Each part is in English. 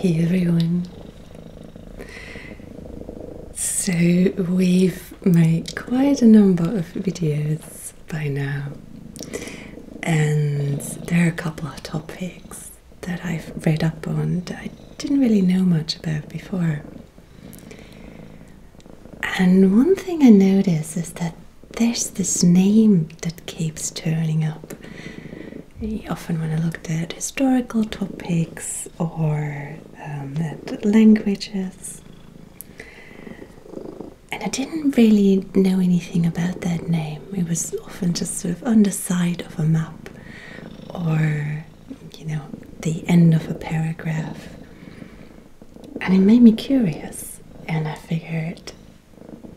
Hey everyone. So we've made quite a number of videos by now and there are a couple of topics that I've read up on that I didn't really know much about before. And one thing I notice is that there's this name that keeps turning up. Often, when I looked at historical topics or um, at languages, and I didn't really know anything about that name. It was often just sort of on the side of a map, or you know, the end of a paragraph, and it made me curious. And I figured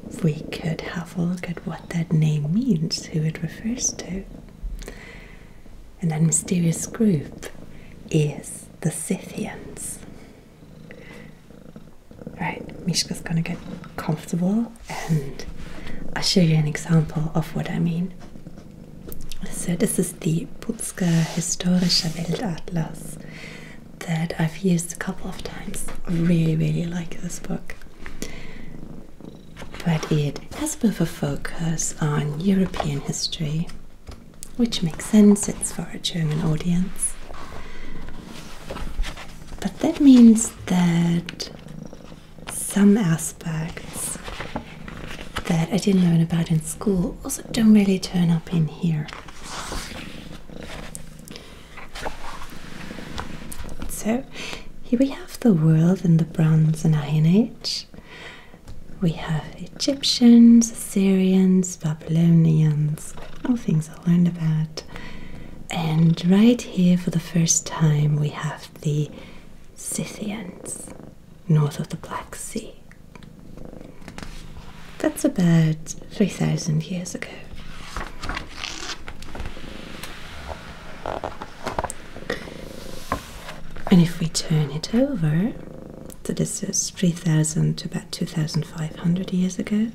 if we could have a look at what that name means, who it refers to. And that mysterious group is the Scythians. Right, Mishka's gonna get comfortable and I'll show you an example of what I mean. So this is the Putzker Historischer Weltatlas that I've used a couple of times. I really, really like this book. But it has a bit of a focus on European history, which makes sense, it's for a German audience. But that means that some aspects that I didn't learn about in school also don't really turn up in here. So here we have the world in the Bronze and Iron Age. We have Egyptians, Assyrians, Babylonians, all things I learned about. And right here for the first time we have the Scythians, north of the Black Sea. That's about 3,000 years ago. And if we turn it over, so this is 3,000 to about 2,500 years ago,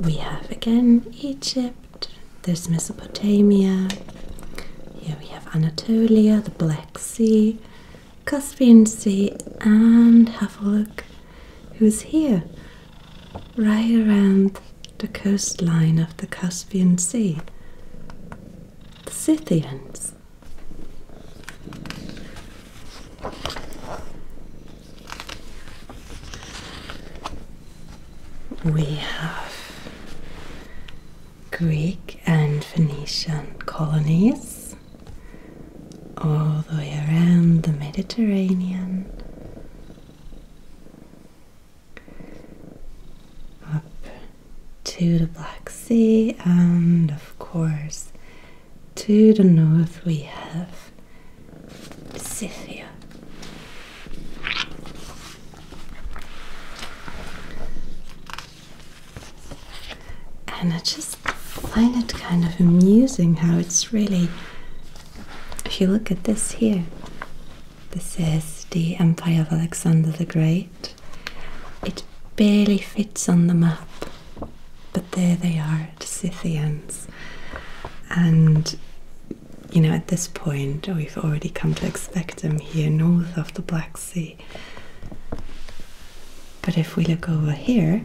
we have again Egypt, there's Mesopotamia, here we have Anatolia, the Black Sea, Caspian Sea, and have a look who's here right around the coastline of the Caspian Sea. The Scythians. We have Greek and Phoenician colonies, all the way around the Mediterranean, up to the Black Sea, and of course, to the north, we have Scythia. And I just find it kind of amusing how it's really. If you look at this here, this is the Empire of Alexander the Great. It barely fits on the map, but there they are, the Scythians. And you know, at this point, we've already come to expect them here north of the Black Sea. But if we look over here,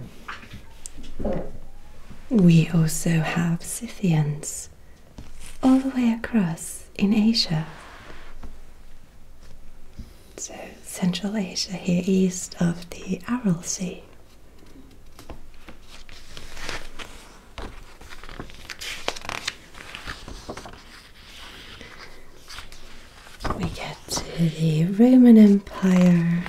we also have Scythians all the way across in Asia. So, Central Asia here, east of the Aral Sea. We get to the Roman Empire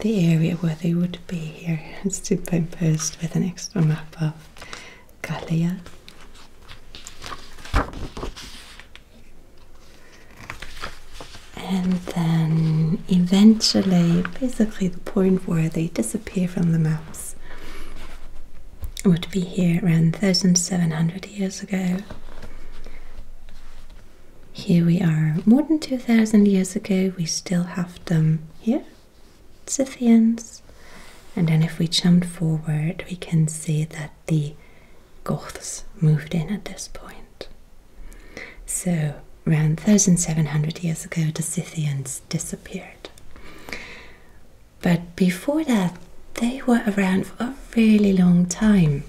the area where they would be here is superimposed with an extra map of Gallia. And then eventually, basically, the point where they disappear from the maps would be here around 1700 years ago. Here we are, more than 2000 years ago, we still have them here, Scythians. And then if we jump forward, we can see that the Goths moved in at this point. So, around 1700 years ago, the Scythians disappeared. But before that, they were around for a really long time.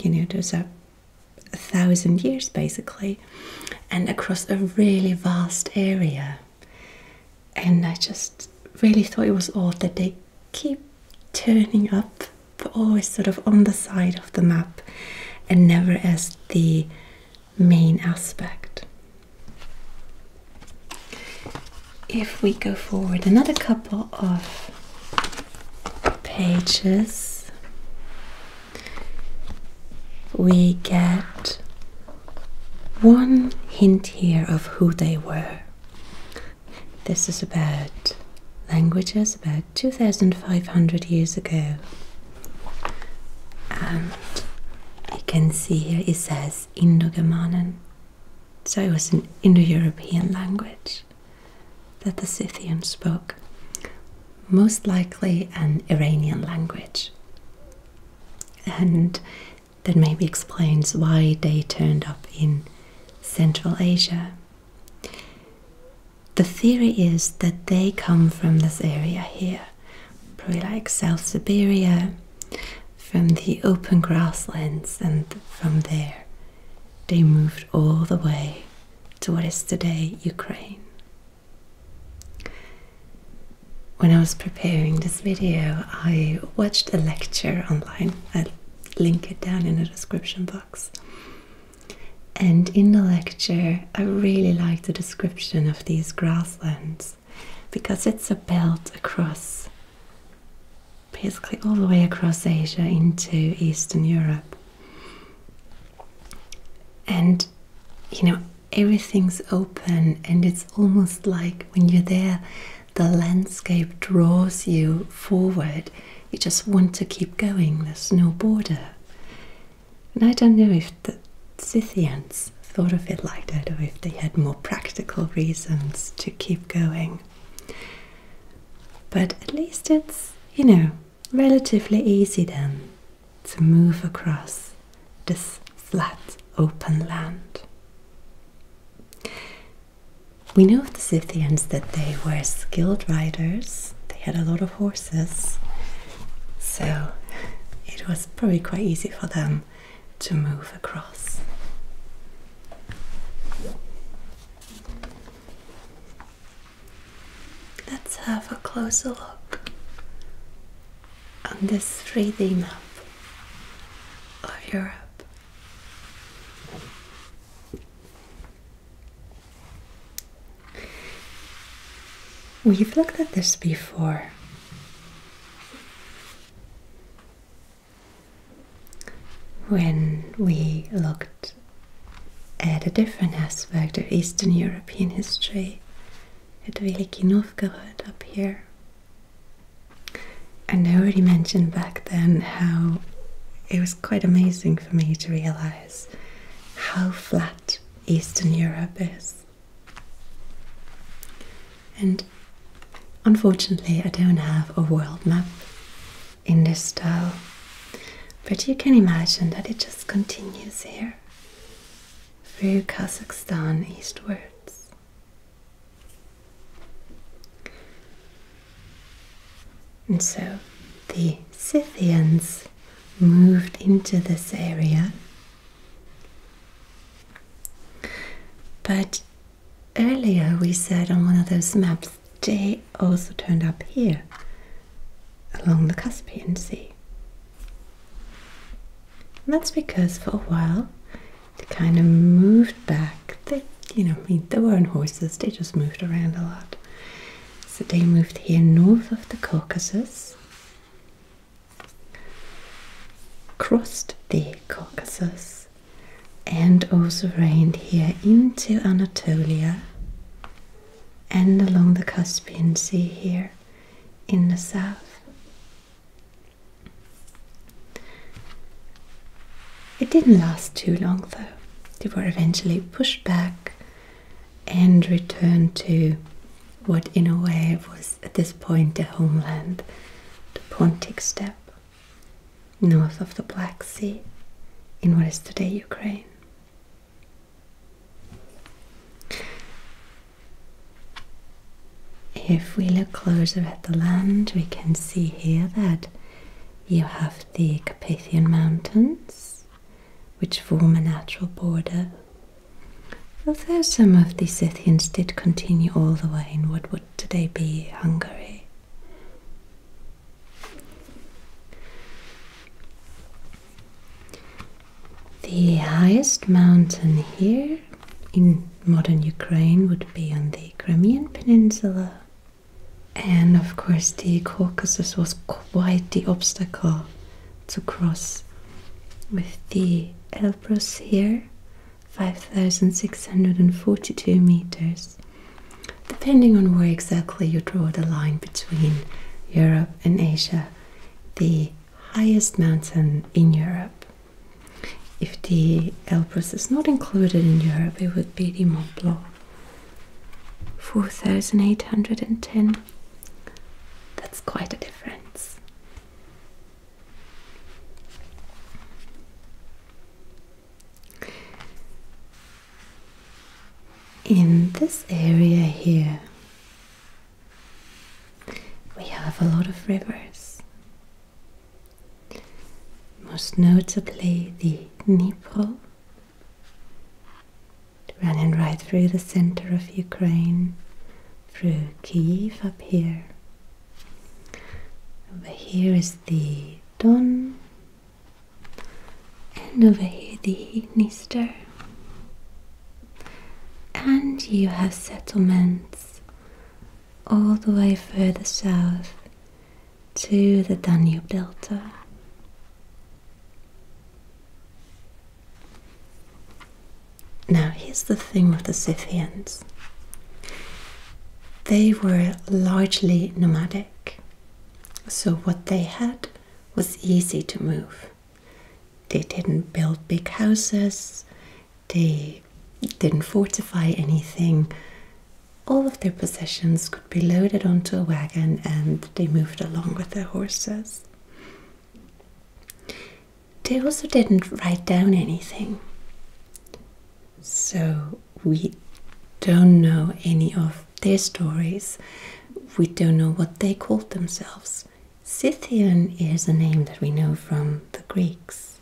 You know, there's a a thousand years basically and across a really vast area and i just really thought it was odd that they keep turning up but always sort of on the side of the map and never as the main aspect if we go forward another couple of pages we get one hint here of who they were. This is about languages about 2500 years ago. And you can see here it says Indo Germanic, so it was an Indo European language that the Scythians spoke, most likely an Iranian language. And that maybe explains why they turned up in Central Asia. The theory is that they come from this area here, probably like South Siberia, from the open grasslands, and from there they moved all the way to what is today Ukraine. When I was preparing this video, I watched a lecture online. I'll link it down in the description box. And in the lecture, I really liked the description of these grasslands because it's a belt across basically all the way across Asia into Eastern Europe. And you know, everything's open, and it's almost like when you're there, the landscape draws you forward. You just want to keep going, there's no border. And I don't know if the Scythians thought of it like that or if they had more practical reasons to keep going. But at least it's, you know, relatively easy then to move across this flat open land. We know of the Scythians that they were skilled riders, they had a lot of horses, so it was probably quite easy for them to move across. Let's have a closer look on this 3D map of Europe. We've looked at this before. When we looked at a different aspect of Eastern European history at Veliki Novgorod up here. And I already mentioned back then how it was quite amazing for me to realize how flat Eastern Europe is. And unfortunately, I don't have a world map in this style. But you can imagine that it just continues here through Kazakhstan eastwards. And so the Scythians moved into this area. But earlier we said on one of those maps they also turned up here along the Caspian Sea. And that's because for a while they kind of moved back. They, you know, I mean, they weren't horses, they just moved around a lot. So they moved here north of the Caucasus, crossed the Caucasus, and also reigned here into Anatolia and along the Caspian Sea here in the south. It didn't last too long though. They were eventually pushed back and returned to what, in a way, was at this point their homeland, the Pontic steppe, north of the Black Sea, in what is today Ukraine. If we look closer at the land, we can see here that you have the Carpathian Mountains, which form a natural border. Although some of the Scythians did continue all the way in what would today be Hungary. The highest mountain here in modern Ukraine would be on the Crimean Peninsula. And of course, the Caucasus was quite the obstacle to cross with the Elbrus here, 5,642 meters. Depending on where exactly you draw the line between Europe and Asia, the highest mountain in Europe. If the Alps is not included in Europe, it would be the Mont Blanc. 4,810. That's quite a difference in this area here we have a lot of rivers most notably the Dnipro running right through the center of Ukraine through Kiev up here over here is the Don and over here the Dniester. And you have settlements all the way further south to the Danube Delta. Now, here's the thing with the Scythians. They were largely nomadic. So, what they had was easy to move. They didn't build big houses, they didn't fortify anything. All of their possessions could be loaded onto a wagon and they moved along with their horses. They also didn't write down anything. So we don't know any of their stories. We don't know what they called themselves. Scythian is a name that we know from the Greeks.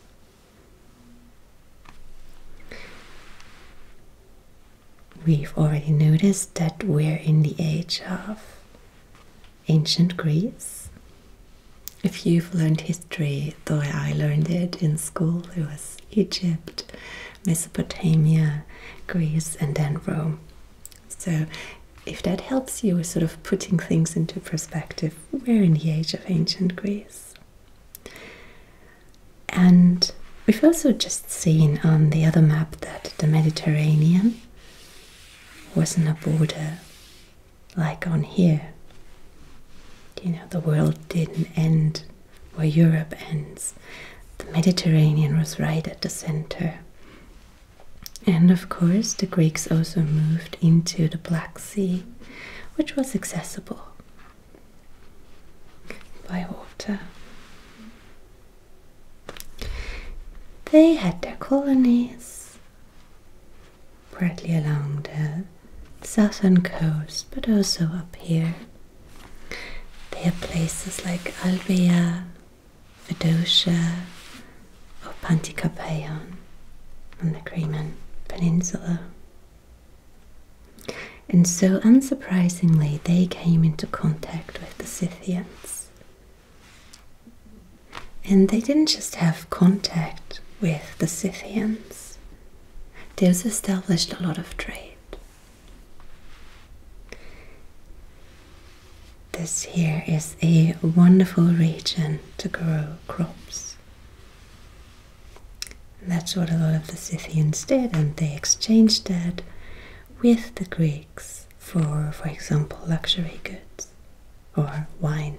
We've already noticed that we're in the age of ancient Greece. If you've learned history, the way I learned it in school, it was Egypt, Mesopotamia, Greece, and then Rome. So, if that helps you with sort of putting things into perspective, we're in the age of ancient Greece. And we've also just seen on the other map that the Mediterranean wasn't a border like on here. You know, the world didn't end where Europe ends. The Mediterranean was right at the center. And of course, the Greeks also moved into the Black Sea, which was accessible by water. They had their colonies, partly along the southern coast, but also up here they are places like Albia, Fedosia, or Panticapeion on the Crimean Peninsula. And so, unsurprisingly, they came into contact with the Scythians. And they didn't just have contact with the Scythians, they also established a lot of trade. This here is a wonderful region to grow crops. that's what a lot of the Scythians did, and they exchanged that with the Greeks for, for example, luxury goods or wine.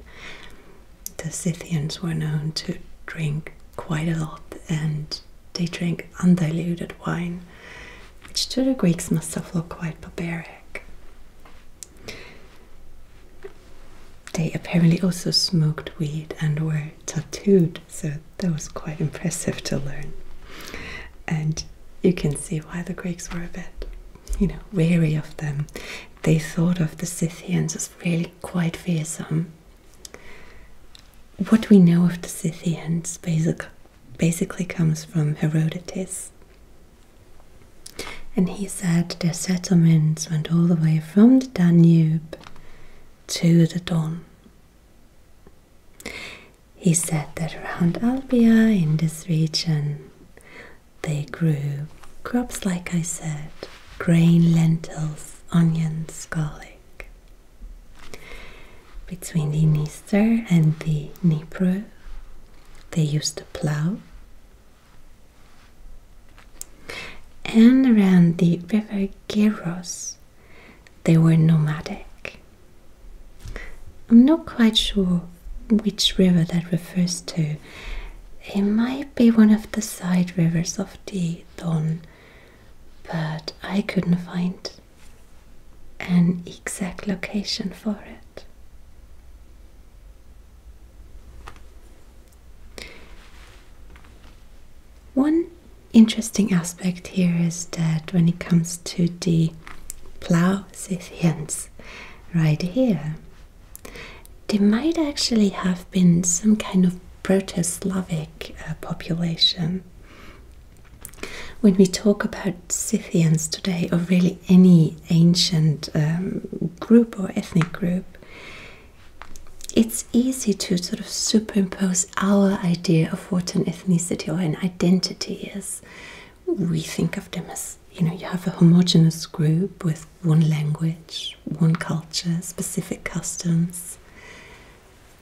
The Scythians were known to drink quite a lot and they drank undiluted wine, which to the Greeks must have looked quite barbaric. They apparently also smoked weed and were tattooed, so that was quite impressive to learn. And you can see why the Greeks were a bit, you know, wary of them. They thought of the Scythians as really quite fearsome what we know of the Scythians basically comes from Herodotus. And he said their settlements went all the way from the Danube to the Don. He said that around Albia in this region they grew crops like I said grain, lentils, onions, garlic. Between the Dniester and the Dnieper, they used the plow. And around the river Geros, they were nomadic. I'm not quite sure which river that refers to. It might be one of the side rivers of the Don, but I couldn't find an exact location for it. One interesting aspect here is that when it comes to the plow Scythians right here, they might actually have been some kind of Proto Slavic uh, population when we talk about Scythians today, or really any ancient um, group or ethnic group, it's easy to sort of superimpose our idea of what an ethnicity or an identity is. We think of them as you know, you have a homogenous group with one language, one culture, specific customs.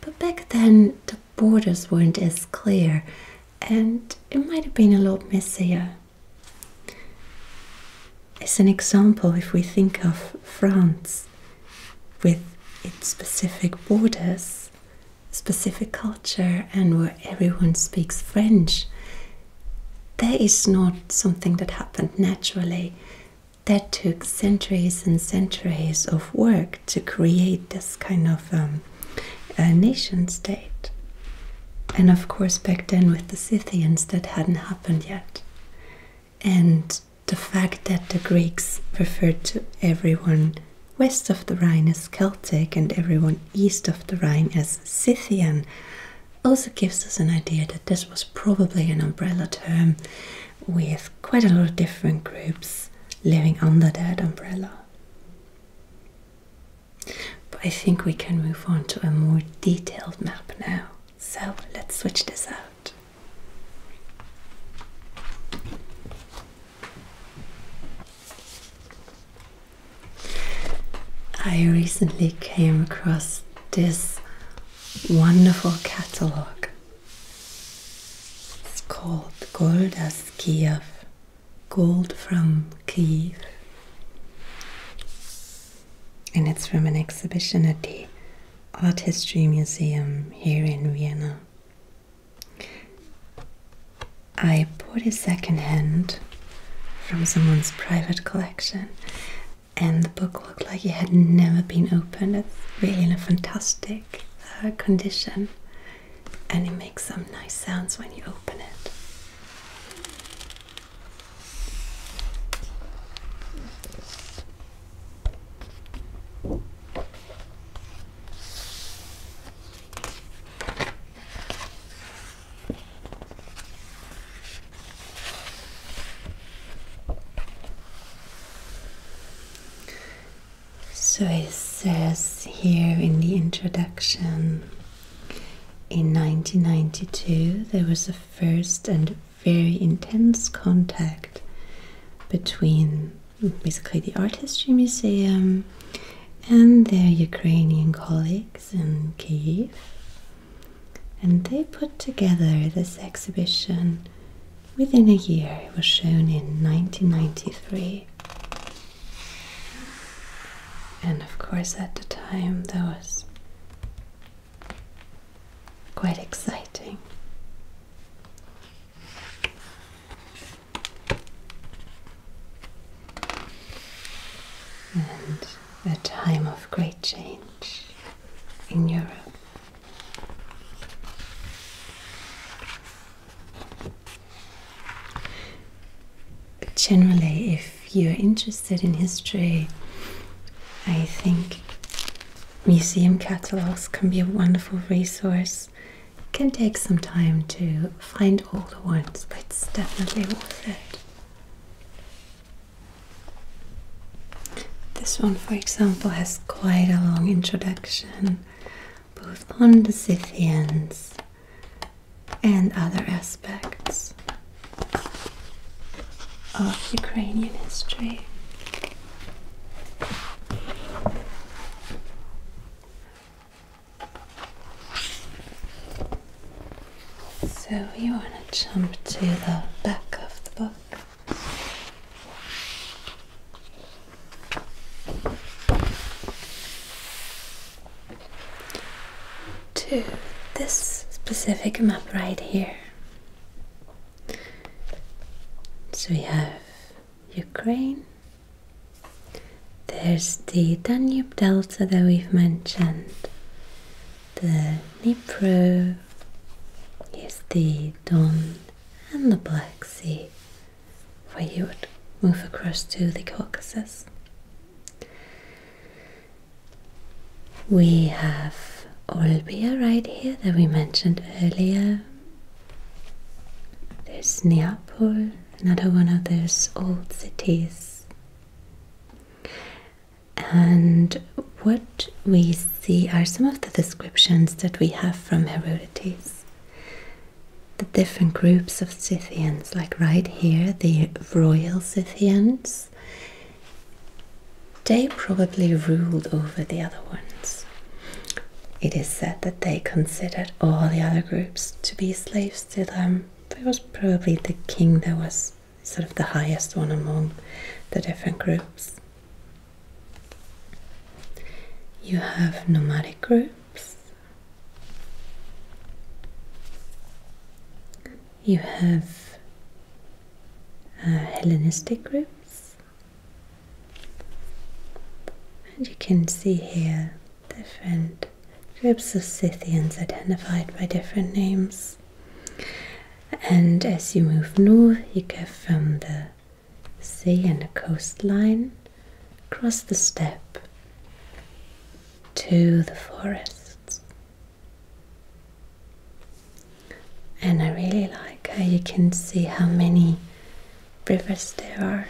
But back then the borders weren't as clear and it might have been a lot messier. As an example, if we think of France with its specific borders, specific culture, and where everyone speaks French, that is not something that happened naturally. That took centuries and centuries of work to create this kind of um, nation state. And of course, back then with the Scythians, that hadn't happened yet. And the fact that the Greeks referred to everyone west of the Rhine as Celtic and everyone east of the Rhine as Scythian also gives us an idea that this was probably an umbrella term with quite a lot of different groups living under that umbrella. But I think we can move on to a more detailed map now. So let's switch this out. I recently came across this wonderful catalogue it's called Goldas Kiev, gold from Kiev. And it's from an exhibition at the Art History Museum here in Vienna. I bought it secondhand from someone's private collection, and the book looked like it had never been opened. It's really fantastic plastic condition and it makes some nice sounds when you open it. So it says here in the introduction in 1992 there was a first and very intense contact between basically the Art History Museum and their Ukrainian colleagues in Kiev. And they put together this exhibition Within a year, it was shown in 1993. And of course, at the time, that was quite exciting. And a time of great change in Europe. Generally, if you're interested in history, I think museum catalogues can be a wonderful resource. can take some time to find all the ones, but it's definitely worth it. This one, for example, has quite a long introduction both on the Scythians and other aspects of Ukrainian history. So, you want to jump to the back of the book? to this specific map right here. So we have Ukraine. There's the Danube Delta that we've mentioned, the Dnipro, here's the Don and the Black Sea where you would move across to the Caucasus. We have Olbia right here that we mentioned earlier. There's Neapel, another one of those old cities. And what we see are some of the descriptions that we have from Herodotus the different groups of Scythians, like right here, the royal Scythians, they probably ruled over the other ones. It is said that they considered all the other groups to be slaves to them. It was probably the king that was sort of the highest one among the different groups. You have nomadic groups. You have uh, Hellenistic groups, and you can see here different groups of Scythians identified by different names. And as you move north, you go from the sea and the coastline, across the steppe to the forests. And I really like how you can see how many rivers there are.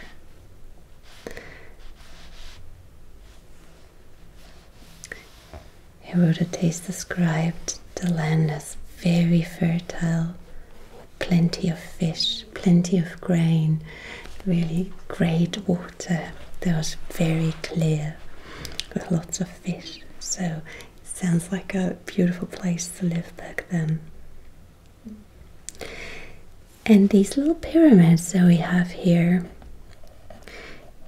Herodotus described the land as very fertile plenty of fish, plenty of grain, really great water that was very clear with lots of fish. So it sounds like a beautiful place to live back then. And these little pyramids that we have here,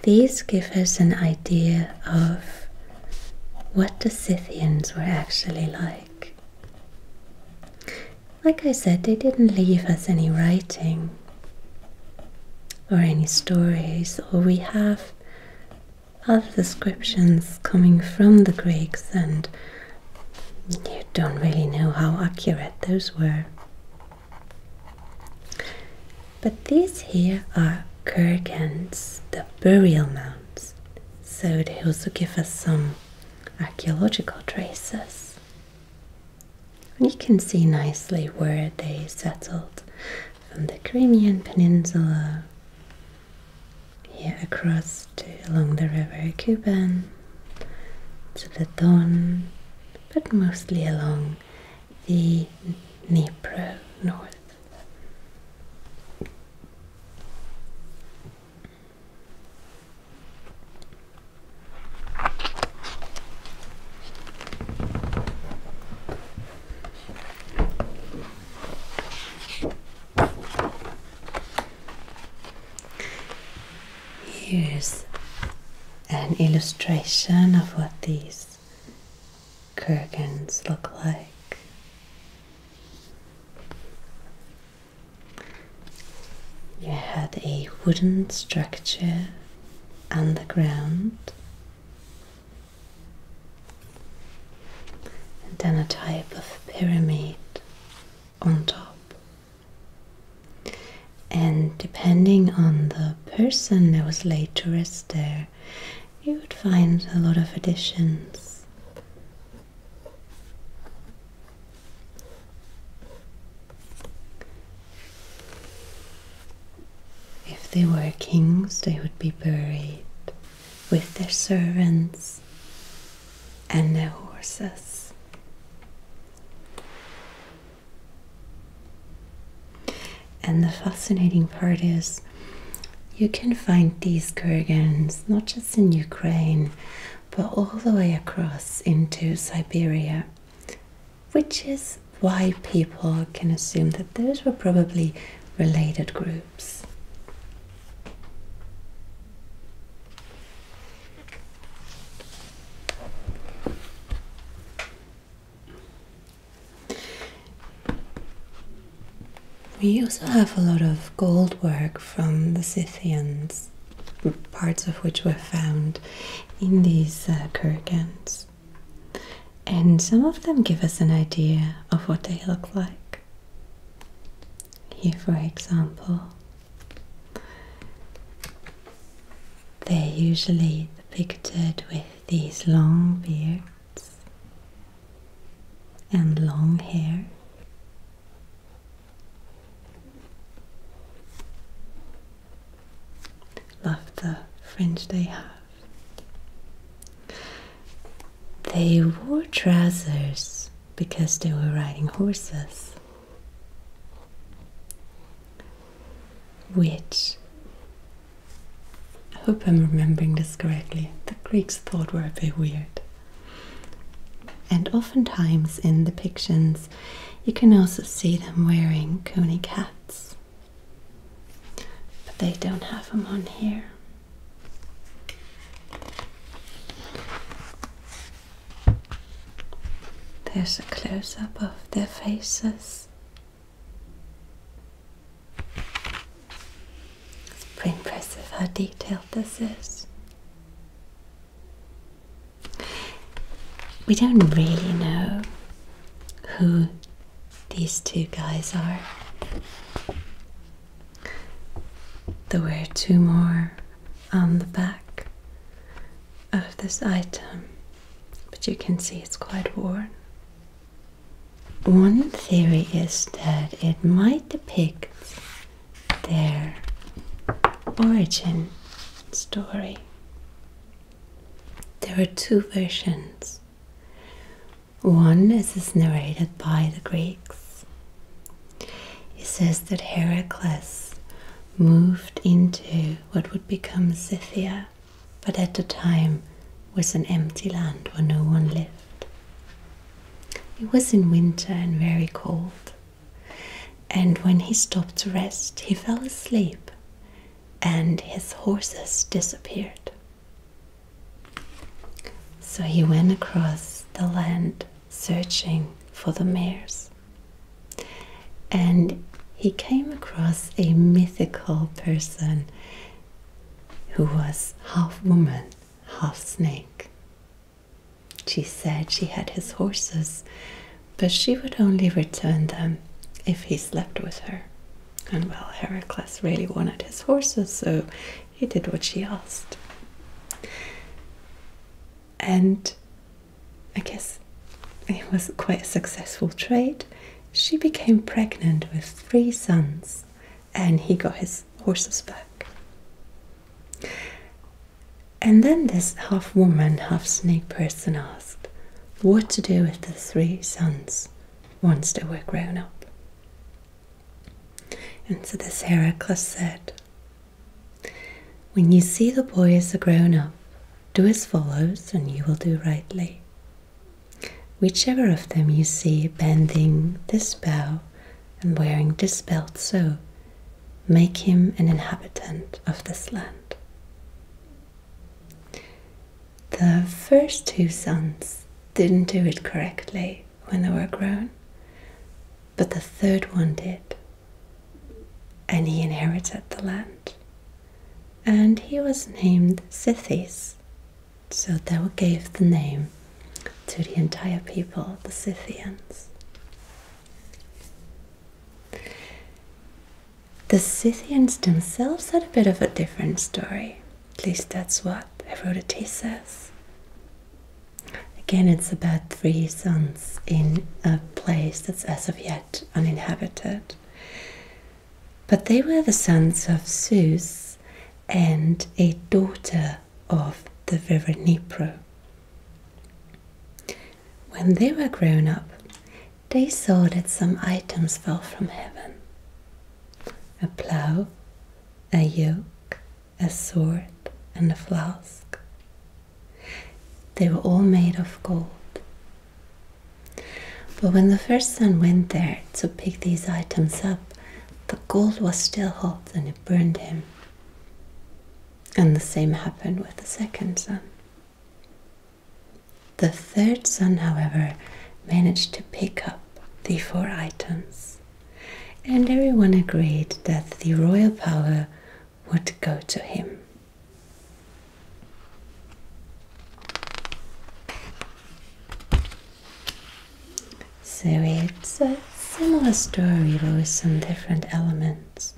these give us an idea of what the Scythians were actually like like. I said, they didn't leave us any writing or any stories, or we have other descriptions coming from the Greeks, and you don't really know how accurate those were. But these here are kurgans, the burial mounds, so they also give us some archaeological traces. you can see nicely where they settled from the Crimean Peninsula here across to along the river Kuban to the Don, but mostly along the Dnieper north. Here's an illustration of what these kurgans look like. You had a wooden structure underground, and then a type of pyramid on top. And depending on the person that was laid to rest there, you would find a lot of additions if they were kings, they would be buried with their servants and their horses. And the fascinating part is you can find these kurgans not just in Ukraine, but all the way across into Siberia, which is why people can assume that those were probably related groups. We also have a lot of goldwork from the Scythians, parts of which were found in these uh, kurgans. And some of them give us an idea of what they look like. Here, for example, they're usually depicted with these long beards and long hair. Love the fringe they have. They wore trousers because they were riding horses, which I hope I'm remembering this correctly. The Greeks thought were a bit weird. And oftentimes in the pictures, you can also see them wearing conic hats. But they don't have them on here. There's a close up of their faces. It's pretty impressive how detailed this is. We don't really know who these two guys are. There were two more on the back of this item, but you can see it's quite worn. One theory is that it might depict their origin story. There are two versions. One as is narrated by the Greeks. It says that Heracles moved into what would become Scythia, but at the time was an empty land where no one lived. It was in winter and very cold, and when he stopped to rest, he fell asleep and his horses disappeared. So he went across the land searching for the mares, and he came across a mythical person who was half woman, half snake. She said she had his horses, but she would only return them if he slept with her. And well, Heracles really wanted his horses, so he did what she asked. And I guess it was quite a successful trade. She became pregnant with three sons, and he got his horses back. And then this half woman, half snake person asked what to do with the three sons once they were grown up. And so this Heracles said, When you see the boys as grown up, do as follows, and you will do rightly. Whichever of them you see bending this bow and wearing this belt so, make him an inhabitant of this land. The first two sons didn't do it correctly when they were grown, but the third one did. And he inherited the land. And he was named Sithis, so they gave the name to the entire people, the Scythians. The Scythians themselves had a bit of a different story. At least that's what I Herodotus says. Again, it's about three sons in a place that's as of yet uninhabited. But they were the sons of Zeus and a daughter of the river Dnipro. When they were grown up, they saw that some items fell from heaven a plough, a yoke, a sword, and a flask. They were all made of gold. But when the first son went there to pick these items up, the gold was still hot and it burned him and the same happened with the second son. The third son, however, managed to pick up the four items, and everyone agreed that the royal power would go to him. So it's a similar story with some different elements.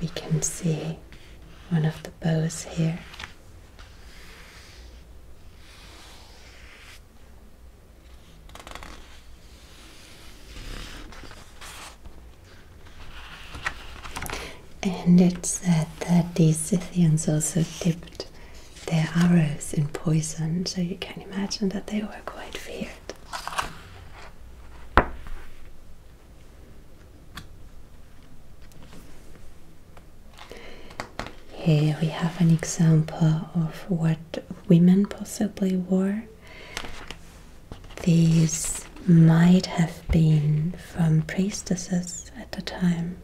We can see one of the bows here. And it's said that these Scythians also dipped their arrows in poison, so you can imagine that they were quite feared. Here we have an example of what women possibly wore. These might have been from priestesses at the time.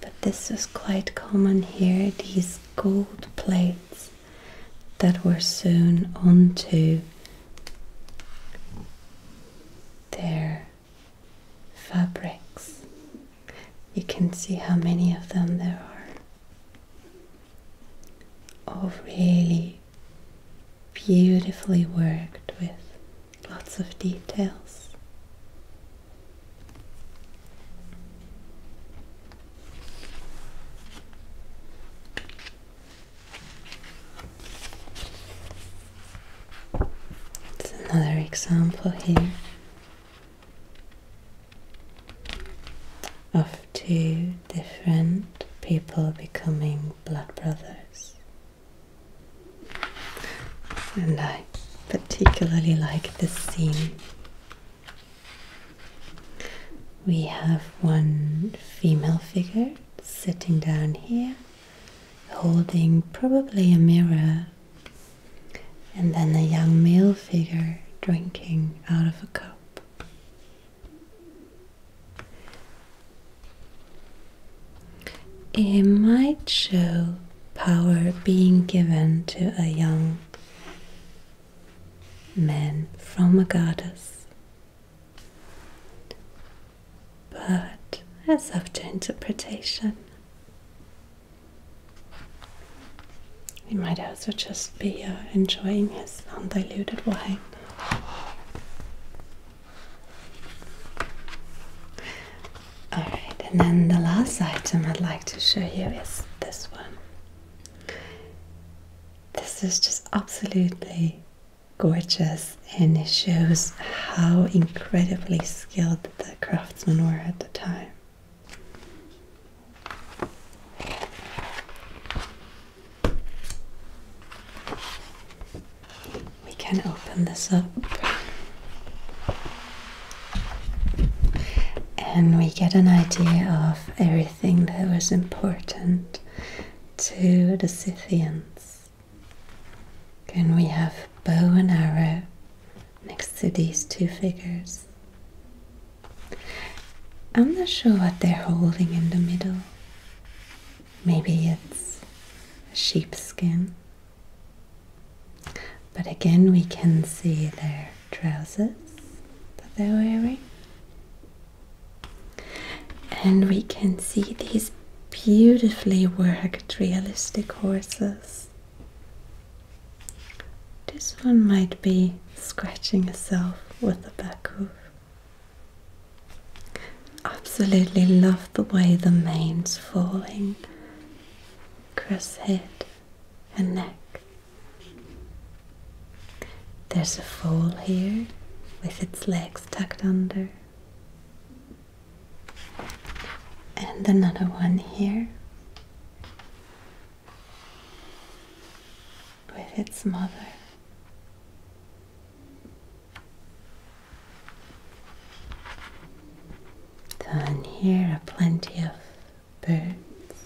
But this is quite common here, these gold plates that were sewn onto their fabrics. You can see how many of them there are. All really beautifully worked with lots of details. It's another example here of two different people becoming blood brothers. And I particularly like this scene. We have one female figure sitting down here, holding probably a mirror, and then a young male figure drinking out of a cup. It might show power being given to a young man from a goddess. But that's up to interpretation. He might also just be uh, enjoying his undiluted wine. Alright, and then the last item I'd like to show you is this one. This is just absolutely gorgeous and it shows how incredibly skilled the craftsmen were at the time we can open this up and we get an idea of everything that was important to the Scythians. Can we have bow and arrow next to these two figures. I'm not sure what they're holding in the middle. Maybe it's a sheepskin but again, we can see their trousers that they're wearing. And we can see these beautifully worked realistic horses. This one might be scratching itself with the back hoof. Absolutely love the way the mane's falling across head and neck. There's a foal here with its legs tucked under, and another one here with its mother. Then here are plenty of birds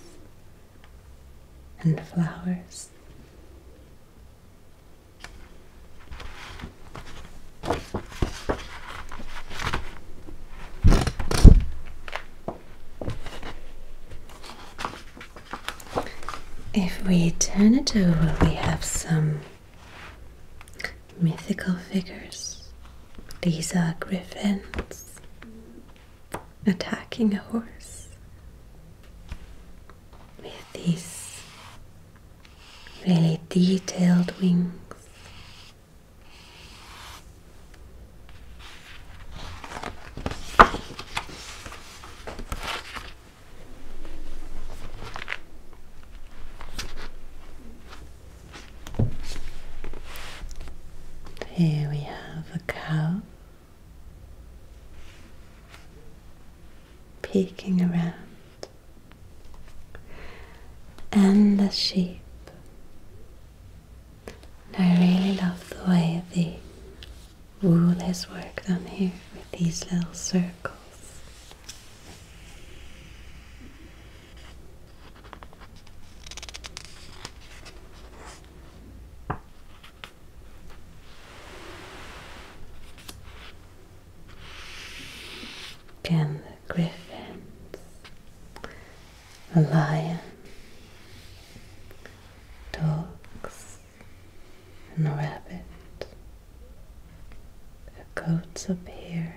and flowers. If we turn it over, we have some Mythical figures. These are griffins attacking a horse with these really detailed wings. Here we have a cow peeking around and a sheep. I really love the way the wool is worked on here with these little circles. Again, griffins, a lion, dogs, and a rabbit. The goats appear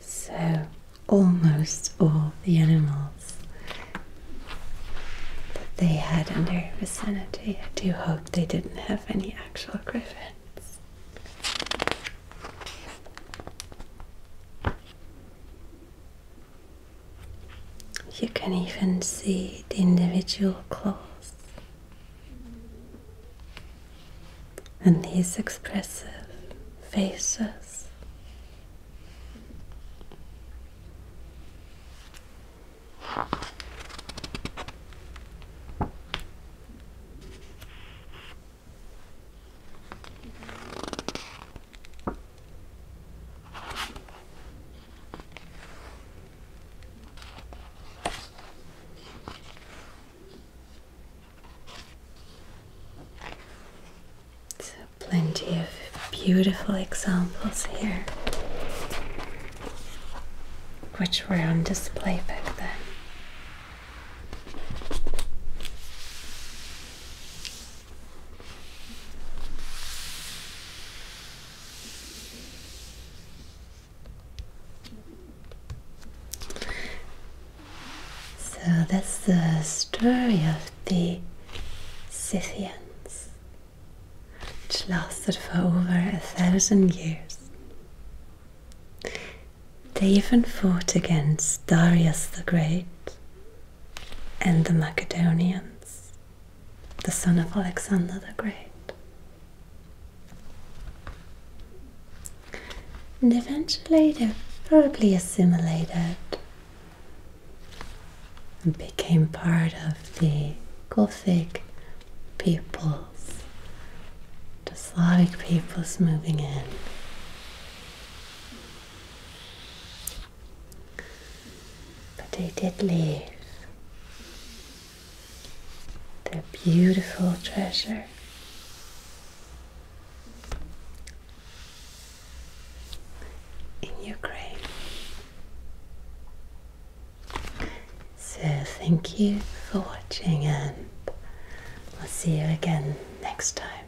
so, almost all the animals that they had in their vicinity. I do hope they didn't have any actual griffins. You can even see the individual claws, and these expressive faces. So, plenty of beautiful examples here, which were on display back then. So that's the story of the Scythians, which lasted for over a thousand years. They even fought against Darius the Great and the Macedonians the son of Alexander the Great. And eventually they probably assimilated and became part of the Gothic peoples, the Slavic peoples moving in. But they did leave their beautiful treasure. In Ukraine. So, thank you for watching, and I'll see you again next time.